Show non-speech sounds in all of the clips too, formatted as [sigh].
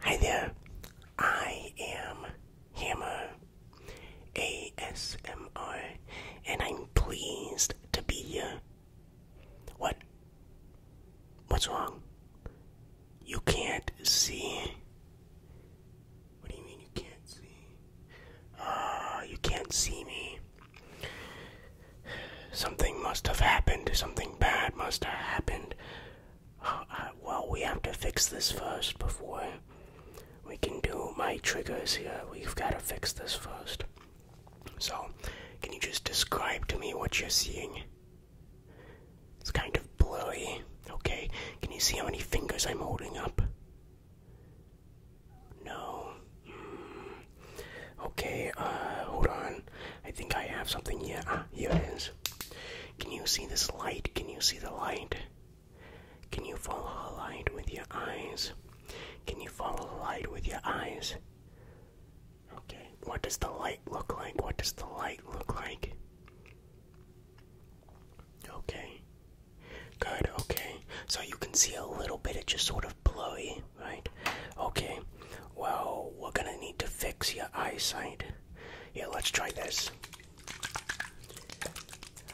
Hi there, I am Hammer ASMR, and I'm pleased to be here. What? What's wrong? You can't see. What do you mean you can't see? Ah, you can't see me. Something must have happened. Something bad must have happened. [sighs] Well, we have to fix this first before we can do my triggers here. We've got to fix this first. So, can you just describe to me what you're seeing? It's kind of blurry. Okay, can you see how many fingers I'm holding up? No. Hmm. Okay, uh, hold on. I think I have something here. Ah, here it is. Can you see this light? Can you see the light? Can you follow the light with your eyes? Can you follow the light with your eyes? Okay, what does the light look like? What does the light look like? Okay, good, okay. So you can see a little bit, it's just sort of blurry right? Okay, well, we're gonna need to fix your eyesight. Yeah, let's try this.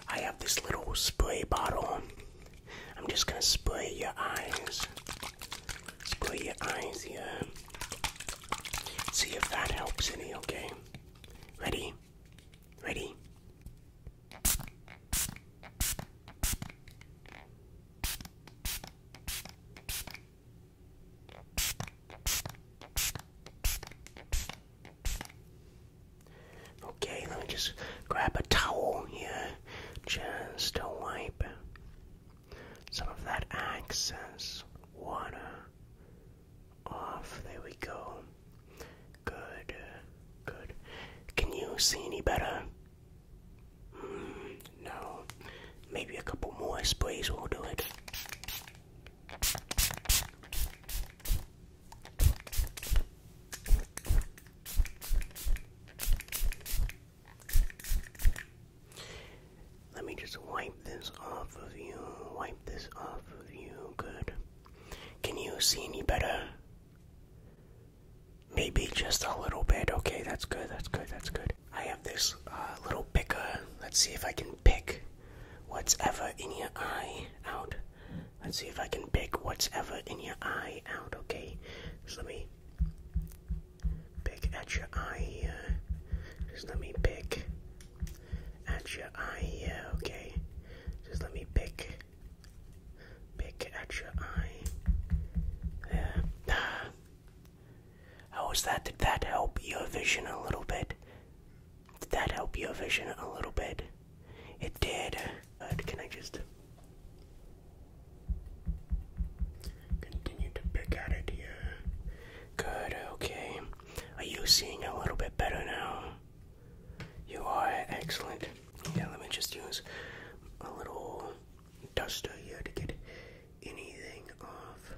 I have this little spray bottle. I'm just gonna spray your eyes. Spray your eyes, yeah. See if that helps any, okay? Ready? Ready? Okay, let me just grab a towel here just to wipe some of that excess water off. There we go. Good, good. Can you see any better? no, maybe a couple more sprays will do it. Let me just wipe this off of you. Wipe this off of you. Good. Can you see any better? Maybe just a little bit. Okay, that's good. That's good. That's good. I have this uh, little picker. Let's see if I can pick what's ever in your eye out. Let's see if I can pick what's ever in your eye out. Okay, just let me pick at your eye here. Just let me pick at your eye here. Okay, just let me pick Pick at your eye. There. How was that? Did that help your vision a little bit? Did that help your vision a little bit? It did. But can I just continue to pick at it here? Good, okay. Are you seeing a little bit better now? You are excellent. Yeah, let me just use a little duster here to get anything off.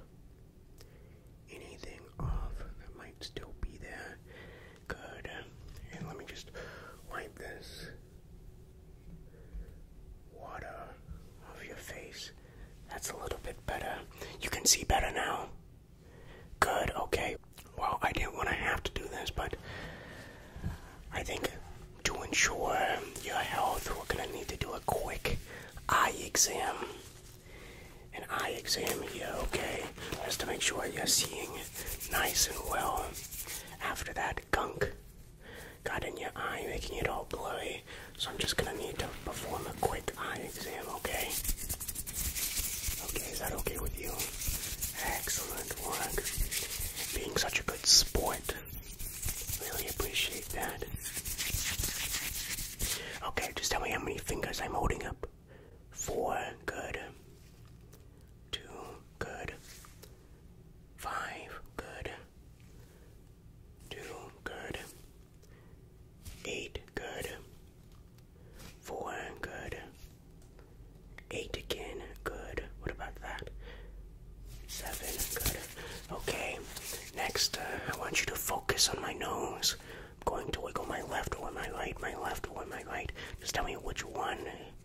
Anything off that might still be there. Good. And let me just wipe this water off your face. That's a little bit better. You can see better now. Good, okay. Well, I didn't want to have to do this, but I think to ensure your health, we're gonna need to do a quick eye exam. An eye exam here, okay? Just to make sure you're seeing nice and well. After that gunk got in your eye, making it all blurry. So I'm just gonna need to perform a quick eye exam, okay? Okay, is that okay with you? Excellent work. Being such a good sport. Really appreciate that. Okay, just tell me how many fingers I'm holding up. Four, good. Two, good. Five, good. Two, good. Eight, good. Four, good. Eight again, good. What about that? Seven, good. Okay, next, uh, I want you to focus on my nose. I'm going to wiggle my left or my right, my left or my right. Just tell me which one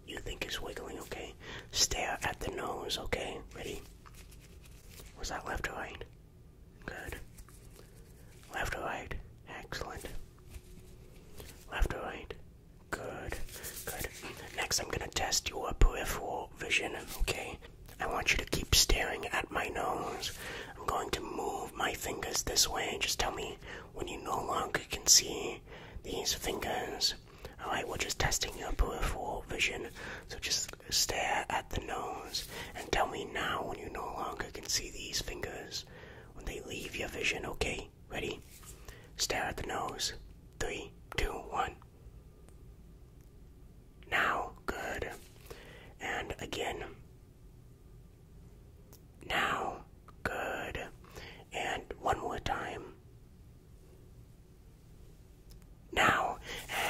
you think is wiggling, okay? Stare at the nose, okay? Ready? Was that left or right? Good. Left or right? Excellent. Left or right? Good, good. Next, I'm gonna test your peripheral vision, okay? I want you to keep staring at my nose. I'm going to move my fingers this way. Just tell me when you no longer can see these fingers. Alright, we're just testing your peripheral vision. So just stare at the nose and tell me now when you no longer can see these fingers. When they leave your vision, okay? Ready? Stare at the nose. Three, two, one. Now, good. And again. Now, good. And one more time. Now,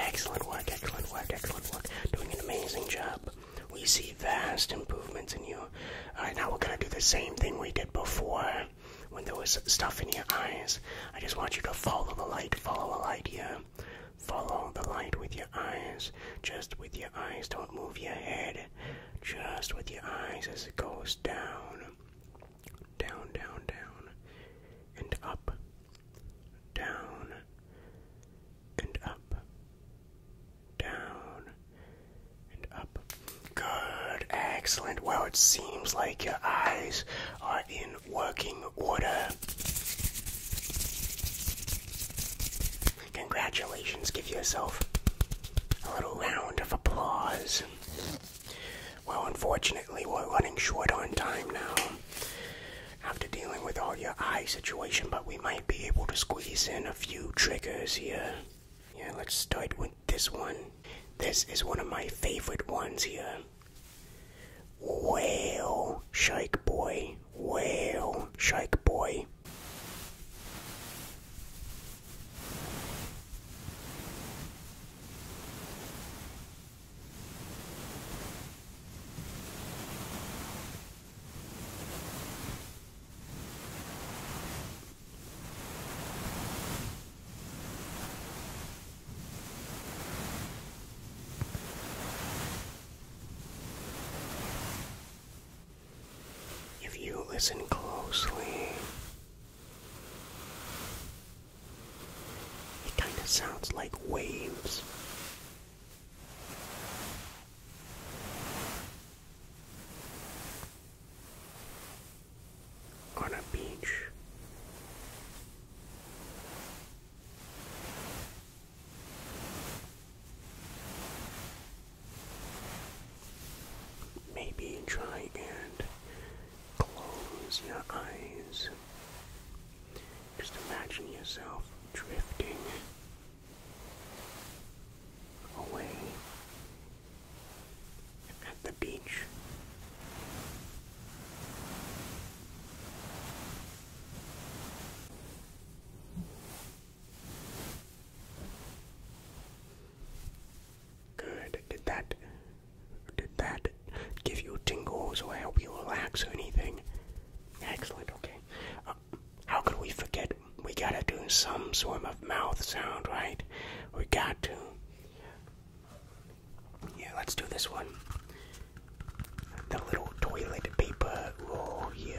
excellent work, excellent work, excellent work. Doing an amazing job we see vast improvements in you. All right, now we're gonna do the same thing we did before when there was stuff in your eyes. I just want you to follow the light, follow the light yeah, Follow the light with your eyes, just with your eyes. Don't move your head, just with your eyes as it goes down, down, down, down, and up, down, and up, down and up. Good, excellent. Well, it seems like your eyes are in working order. Congratulations, give yourself a little round of applause. Well, unfortunately, we're running short on time now after dealing with all your eye situation, but we might be able to squeeze in a few triggers here. Yeah, let's start with this one. This is one of my favorite ones here. Whale shake, Boy. Whale shake, Boy. If you listen closely, it kind of sounds like waves on a beach. Maybe try and close your eyes. Just imagine yourself drifting away at the beach. Good. Did that did that give you tingles or help you relax or anything? Excellent, okay how could we forget? We gotta do some sort of mouth sound, right? We got to. Yeah, let's do this one. The little toilet paper roll here.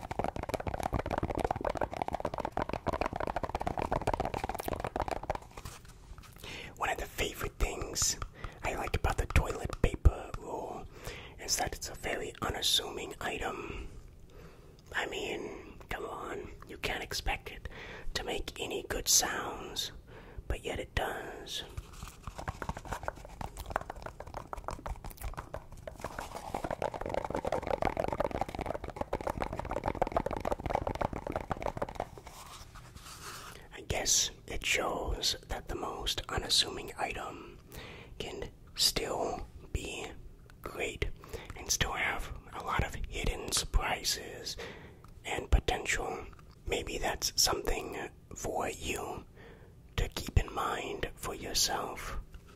One of the favorite things I like about the toilet paper roll is that it's a very unassuming item. I mean, come on, you can't expect it to make any good sounds, but yet it does. I guess it shows that the most unassuming item can still be great and still have a lot of hidden surprises and potential. Maybe that's something for you to keep in mind for yourself.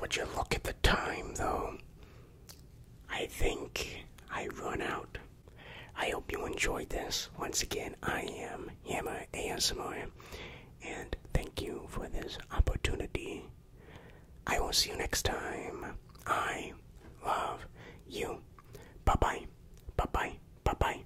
Would you look at the time, though? I think I run out. I hope you enjoyed this. Once again, I am Hammer ASMR, and thank you for this opportunity. I will see you next time. I love you. Bye bye. Bye bye. Bye bye.